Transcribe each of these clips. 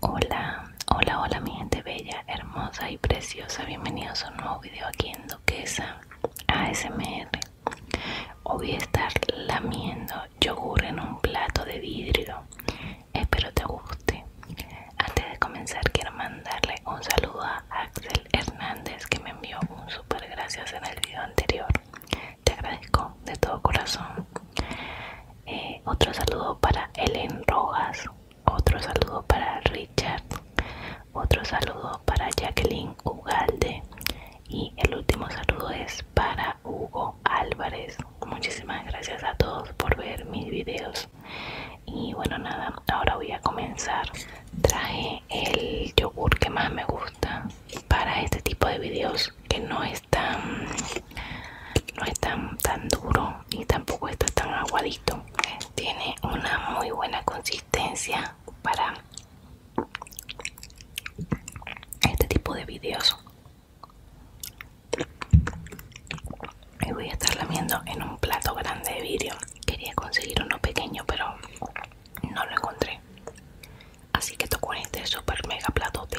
Hola, hola, hola mi gente bella, hermosa y preciosa Bienvenidos a un nuevo video aquí en Duquesa ASMR Hoy voy a estar lamiendo yogur en un plato de vidrio Espero te guste Antes de comenzar quiero mandarle un saludo a Axel Hernández Que me envió un super gracias en el video anterior te agradezco de todo corazón. Eh, otro saludo para Ellen Rojas. Otro saludo para Richard. Otro saludo para Jacqueline Ugalde. Y el último saludo es para Hugo Álvarez. Muchísimas gracias a todos por ver mis videos. Y bueno, nada, ahora voy a comenzar. Traje el yogur que más me gusta para este tipo de videos que no es no es tan, tan duro y tampoco está tan aguadito tiene una muy buena consistencia para este tipo de vídeos y voy a estar lamiendo en un plato grande de vidrio quería conseguir uno pequeño pero no lo encontré así que toco en este super mega platote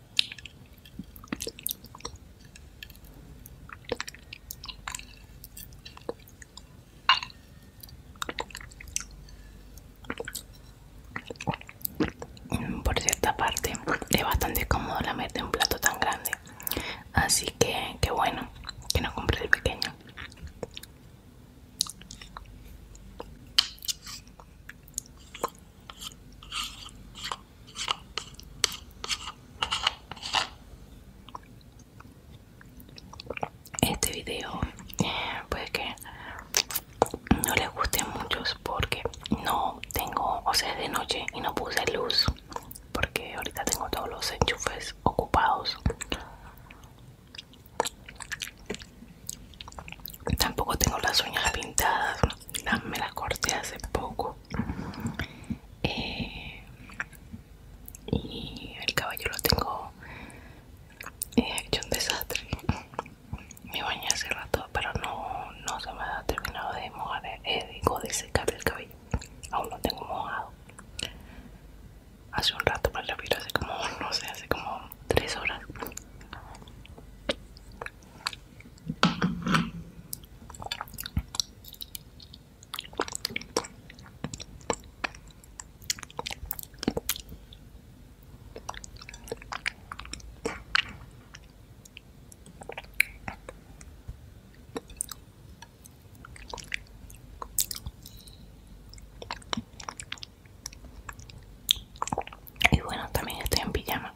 Por cierta parte, es bastante cómodo la mete en un plato tan grande. Así que, qué bueno que no compré el pequeño. Este video puede que no les guste mucho muchos porque no tengo, o sea, es de noche y no puse luz porque ahorita tengo todos los enchufes ocupados. Tampoco tengo las uñas pintadas me la corté hace poco eh, y el cabello lo tengo eh, hecho un desastre me bañé hace rato pero no, se me ha terminado de mojar eh, digo de secar el cabello aún lo tengo mojado hace un rato lo viro hace como no sé hace como tres horas y bueno, también estoy en pijama.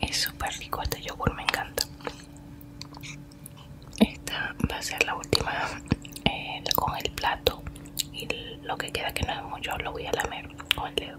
Es súper rico este yogur, me encanta. Esta va a ser la última eh, con el plato y lo que queda que no es mucho lo voy a lamer con el dedo.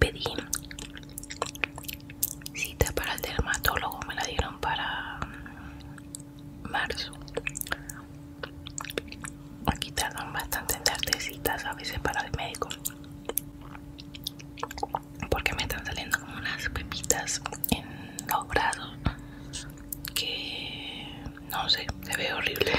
Pedí cita para el dermatólogo, me la dieron para marzo. Aquí tardan bastante en darte citas a veces para el médico. Porque me están saliendo como unas pepitas en los brazos que no sé, se ve horrible.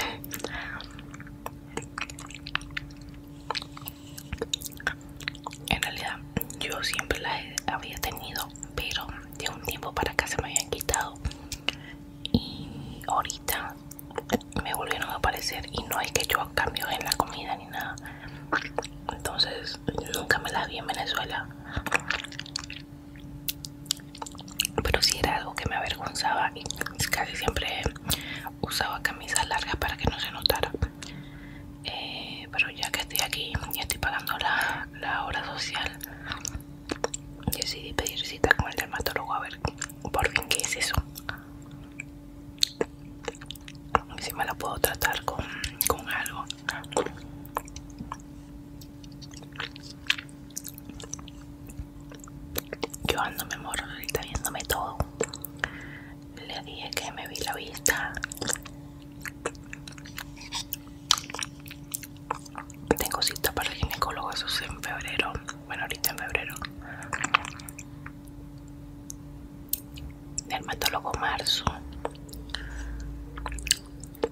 En realidad yo siempre la había tenido, pero de un tiempo para acá se me habían quitado y ahorita me volvieron a aparecer y no hay que yo cambio en la comida ni nada. Entonces nunca me la vi en Venezuela pero si era algo que me avergonzaba y casi siempre usaba camisas largas para que no se notara eh, pero ya que estoy aquí y estoy pagando la, hora social decidí pedir cita con el dermatólogo a ver por qué es eso si me la puedo tratar con algo yo ando me moro ahorita viéndome todo. Le dije que me vi la vista. Tengo cita para el ginecólogo, eso es en febrero. Bueno, ahorita en febrero. Dermatólogo marzo.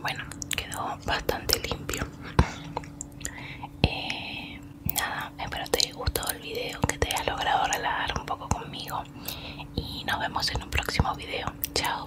Bueno, quedó bastante limpio. Eh, nada, espero te haya gustado el video, que te haya logrado relajar un poco conmigo y nos vemos en un próximo video. Chao.